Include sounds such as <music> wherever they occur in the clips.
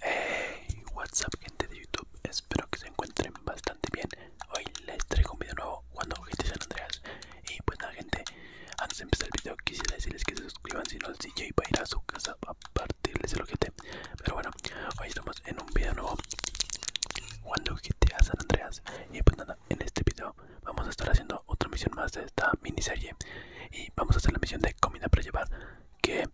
Hey, what's up gente de YouTube, espero que se encuentren bastante bien Hoy les traigo un video nuevo cuando a San Andreas Y pues nada gente, antes de empezar el video quisiera decirles que se suscriban si no el para a ir a su casa a partirles el ojete Pero bueno, hoy estamos en un video nuevo cuando a San Andreas y pues nada, en este video vamos a estar haciendo otra misión más de esta miniserie y vamos a hacer la misión de comida para llevar que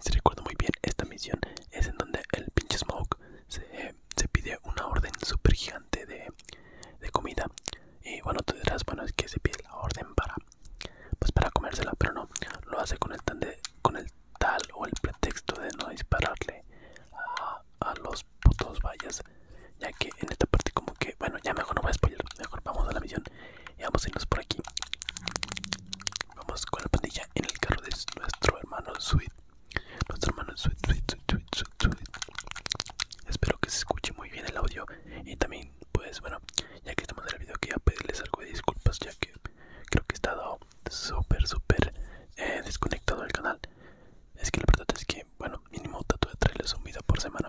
si recuerdo muy bien esta misión es en donde el pinche Smoke se, pide una orden super gigante de, comida y bueno tú dirás bueno es que se pide la orden para pues para comérsela pero no lo hace con el con el tal o el pretexto de no dispararle a los por putos vallas ya que en esta parte como que bueno ya mejor no voy a spoiler mejor vamos a la misión y vamos a irnos por aquí vamos con la pandilla en el carro de nuestro hermano Sweet nuestro hermano Sweet Sweet Sweet Sweet, espero que se escuche muy bien el audio y también pues bueno ya que estamos en el video a pedirles algo de disculpas ya que creo que he estado súper súper eh, desconectado del canal es que la verdad es que bueno, mínimo trato de traerles un video por semana.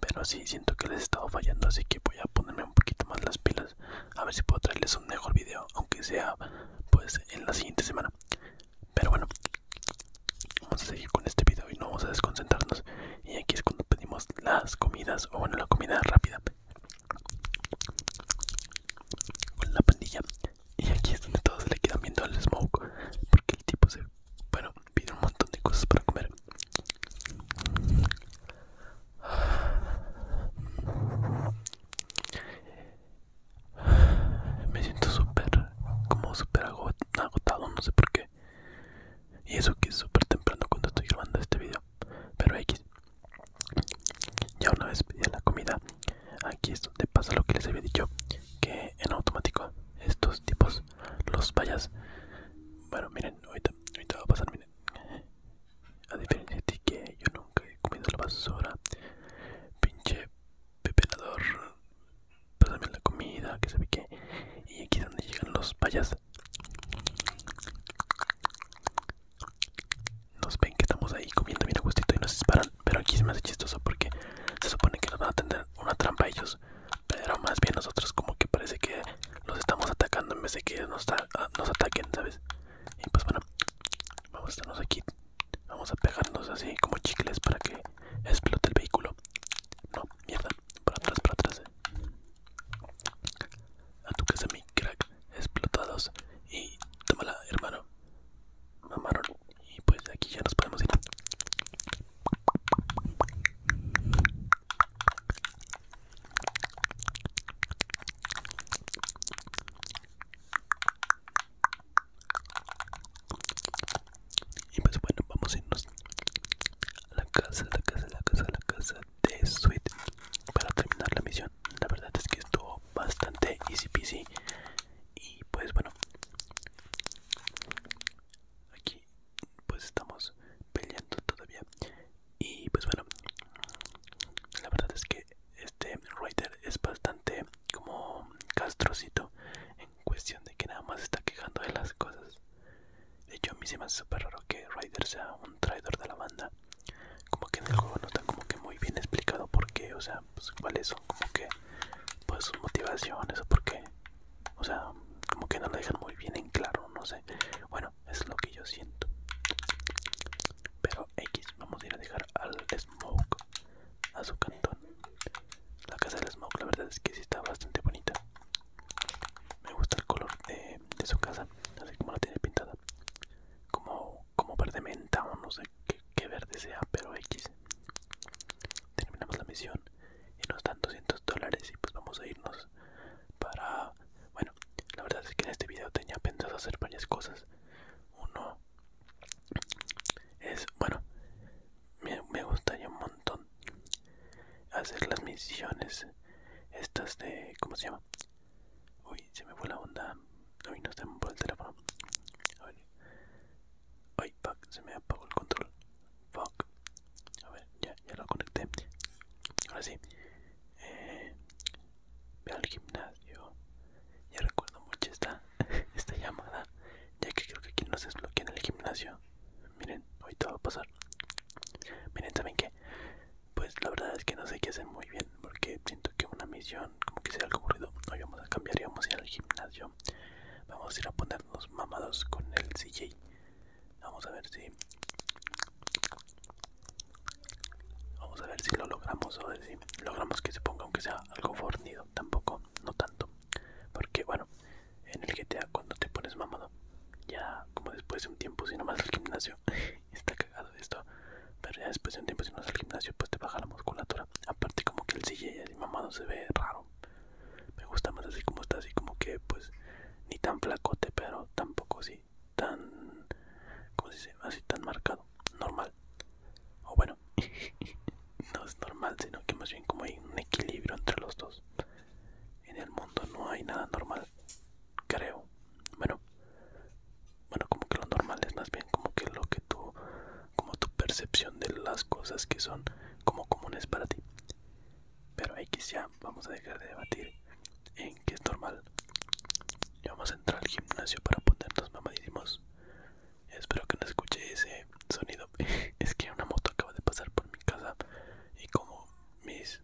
Pero sí, siento que les he estado fallando, así que voy a ponerme un poquito más las pilas. A ver si puedo traerles un mejor video, aunque sea pues en la siguiente semana. Pero bueno, vamos a seguir con este video y no vamos a desconcentrarnos. Y aquí es cuando pedimos las comidas, o bueno, la comida rápida con la pandilla. Y aquí es donde todos le quedan viendo al smoke, porque el tipo se bueno, pido un montón de cosas para comer. Me siento súper, como súper agotado, no sé por qué. Y eso que es súper temprano cuando estoy grabando este video. Pero X. Ya una vez pedí la comida Aquí es donde pasa lo que les había dicho, que en automático estos tipos, los payas bueno miren, ahorita, ahorita va a pasar, miren, a diferencia de ti que yo nunca he comido la basura, pinche pero también la comida, que sabe que y aquí es donde llegan los payas nos ven que estamos ahí comiendo bien a gustito y nos disparan pero aquí se me hace chistoso porque se supone que nos van a tener una trampa ellos. Pero más bien nosotros como que parece que los estamos atacando en vez de que nos, ah, nos ataquen, ¿sabes? Y pues bueno, vamos a estarnos aquí. Vamos a pegarnos así como chicles para que explote el vehículo. No, mierda, para atrás, para atrás. Eh. A tu mi crack, explotados. Y tómala, hermano mamaron y pues aquí ya nos podemos ir y pues bueno vamos a irnos a la casa la casa la casa la casa de Sweet para terminar la misión la verdad es que estuvo bastante easy peasy y pues bueno aquí pues estamos peleando todavía y pues bueno la verdad es que este writer es bastante como castrocito en cuestión de que nada más está quejando de las cosas de hecho a mí se me hace súper raro que Ryder sea un traidor de la banda como que en el juego no está como que muy bien explicado por qué o sea pues cuáles son como que pues sus motivaciones o por qué. O sea, como que no lo dejan muy bien en claro, no sé. Bueno, es lo que yo siento. Pero X, vamos a ir a dejar al Smoke a su cantón. La casa del Smoke, la verdad es que sí está bastante bonita. Me gusta el color de, su casa, así como la tiene pintada. Como, como verde menta o no sé que, verde sea, pero X. Terminamos la misión y nos dan 200 dólares y pues vamos a irnos para... Bueno, la verdad es que en este video tenía pensado hacer varias cosas. Uno es, bueno, me, me gustaría un montón hacer las misiones estas de... ¿Cómo se llama? Uy, se me fue la onda. Uy, no se me fue el teléfono. A ver. Ay, fuck, se me apagó el control. Fuck. A ver, ya, lo conecté. Ahora sí. Eh, ve al gimnasio. Ya recuerdo mucho esta, <laughs> esta llamada. Ya que creo que aquí no se desbloquea en el gimnasio. Miren, hoy todo va a pasar. Miren, ¿saben qué? pues la verdad es que no sé qué hacer muy bien porque siento que una misión como que sea algo aburrido hoy vamos a cambiar y vamos a ir al gimnasio vamos a ir a ponernos mamados con el CJ vamos a ver si vamos a ver si lo logramos o si logramos que se ponga aunque sea algo fornido tampoco no tanto porque bueno en el GTA cuando te pones mamado ya como después de un tiempo si nomás más al gimnasio está cagado de esto. Pero ya después de un tiempo, si no vas al gimnasio, pues te baja la musculatura. Aparte, como que el y mamá no se ve raro. Me gusta más así como está, así como que, pues, ni tan flacote, pero tampoco así tan. como se dice? Así tan marcado. Normal. O bueno, <laughs> no es normal, sino que más bien como hay un equilibrio entre los dos. En el mundo no hay nada normal creo. Bueno, bueno, como que lo normal es más bien como que lo que tú, como tu percepción de las cosas que son como comunes para ti. Pero que ya vamos a dejar de debatir en qué es normal. Ya vamos a entrar al gimnasio para ponernos mamadísimos. Espero que no escuche ese sonido. <laughs> es que una moto acaba de pasar por mi casa y como mis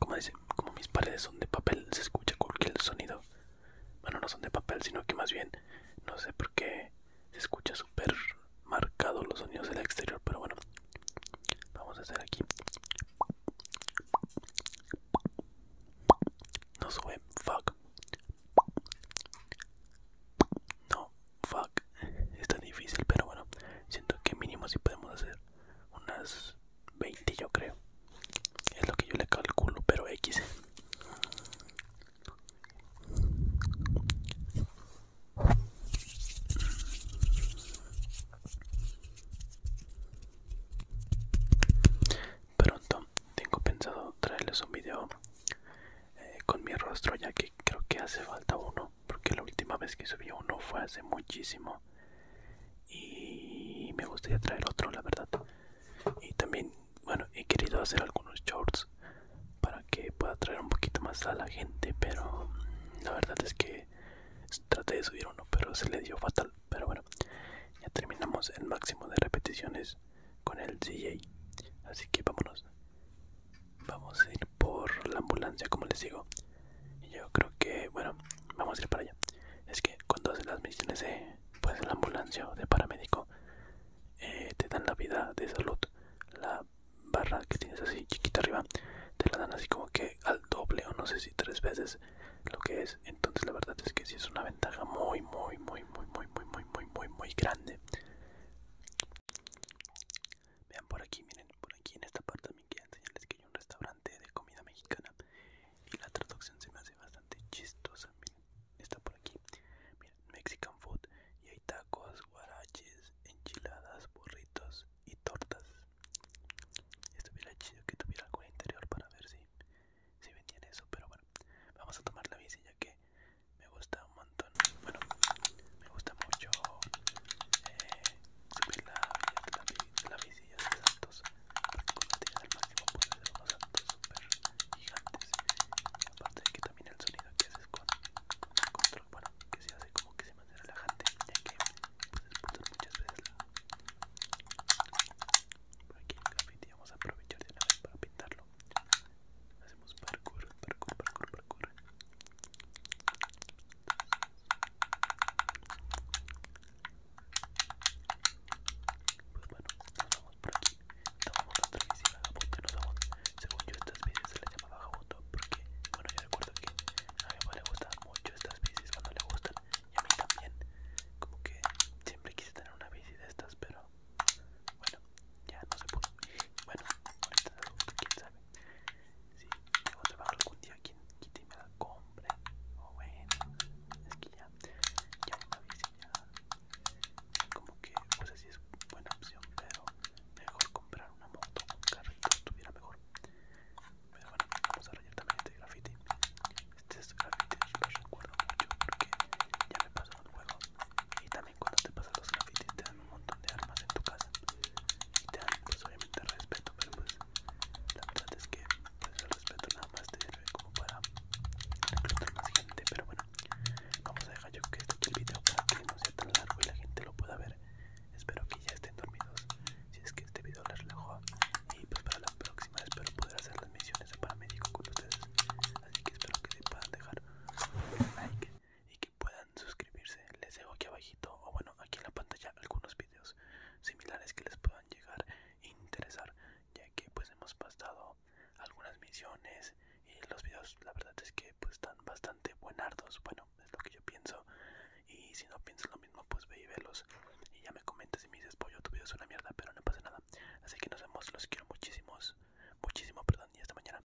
como como mis paredes son de papel, se escucha cualquier sonido. Bueno, no son de papel, sino que más bien, no sé por qué se escucha súper marcado los sonidos del exterior, pero bueno, vamos a hacer aquí. No sube, fuck. No, fuck. Está difícil, pero bueno, siento que mínimo si sí podemos hacer unas 20 yo creo es lo que yo le calculo pero x pronto tengo pensado traerles un video eh, con mi rostro ya que creo que hace falta uno porque la última vez que subí uno fue hace muchísimo y me gustaría traer otro la verdad y también bueno he querido hacer algunos shorts para que pueda traer un poquito más a la gente pero mm, la verdad es que traté de subir uno pero se le dio fatal pero bueno ya terminamos el máximo de repeticiones con el DJ así que vámonos vamos a ir por la ambulancia como les digo yo creo que, bueno, vamos a ir para allá. Es que cuando haces las misiones de pues, la ambulancia o de paramédico, eh, te dan la vida de salud. La barra que tienes así chiquita arriba, te la dan así como que al doble o no sé si tres veces lo que es. Entonces la verdad es que sí es una ventaja muy, muy, muy, muy, muy, muy, muy, muy, muy, muy grande. Vean por aquí, miren, por aquí en esta parte también quedan enseñarles que hay un restaurante de comida mexicana y la traducción se me hace bastante chistosa, está por aquí, mira Mexican Food y hay tacos, guaraches, enchiladas, burritos y tortas. Estuviera chido que tuviera algo interior para ver si, si vendían eso, pero bueno, vamos a tomar la bici ya que me gusta un montón, bueno, me gusta mucho... Eh, se ve la, la, la visilla de Santos, cuando tiene el máximo poder de unos Santos super gigantes. Y aparte de que también el sonido que haces con, con el control, bueno, que se hace como que se mantiene relajante, ya que puedes pulsar muchas veces la. Por aquí el graffiti vamos a aprovechar de una vez para pintarlo. Hacemos parkour, parkour, parkour, parkour. Pues bueno, nos vamos por aquí. Tomamos otra bici vagabundo y nos vamos. Según yo, estas bicis se les llama vagabundo porque, bueno, yo recuerdo que a mi mamá le gustaban mucho estas bicis cuando le gustan y a mí también. Como que siempre quise tener una bici de estas, pero bueno, ya no se pudo. Bueno, ahorita, quién sabe si debo trabajar algún día quien quite y me la compre o oh, bueno es que ya ya una ya como que pues así es buena opción pero mejor comprar una moto un carrito estuviera mejor pero bueno vamos a rayar también este graffiti este es graffiti yo recuerdo mucho porque ya me pasó en un juego y también cuando te pasan los graffiti te dan un montón de armas en tu casa y te dan pues obviamente respeto pero pues la verdad es que pues el respeto nada más te sirve como para reclutar más gente pero bueno vamos a dejar yo que esté el video para que no sea tan largo y la gente lo pueda ver espero que ya estén dormidos si es que este video les relajó y pues para la próxima espero poder hacer las misiones de paramédico con ustedes así que espero que se puedan dejar un like y puedan suscribirse. Les dejo aquí abajito o bueno, aquí en la pantalla algunos videos similares que les puedan llegar a interesar, ya que pues hemos pasado algunas misiones y los videos la verdad es que pues están bastante buenardos, bueno, es lo que yo pienso. Y si no piensas lo mismo, pues ve y velos y ya me comentas si me dices, pollo, tu video es una mierda, pero no pasa nada. Así que nos vemos, los quiero muchísimo muchísimo, perdón, y hasta mañana.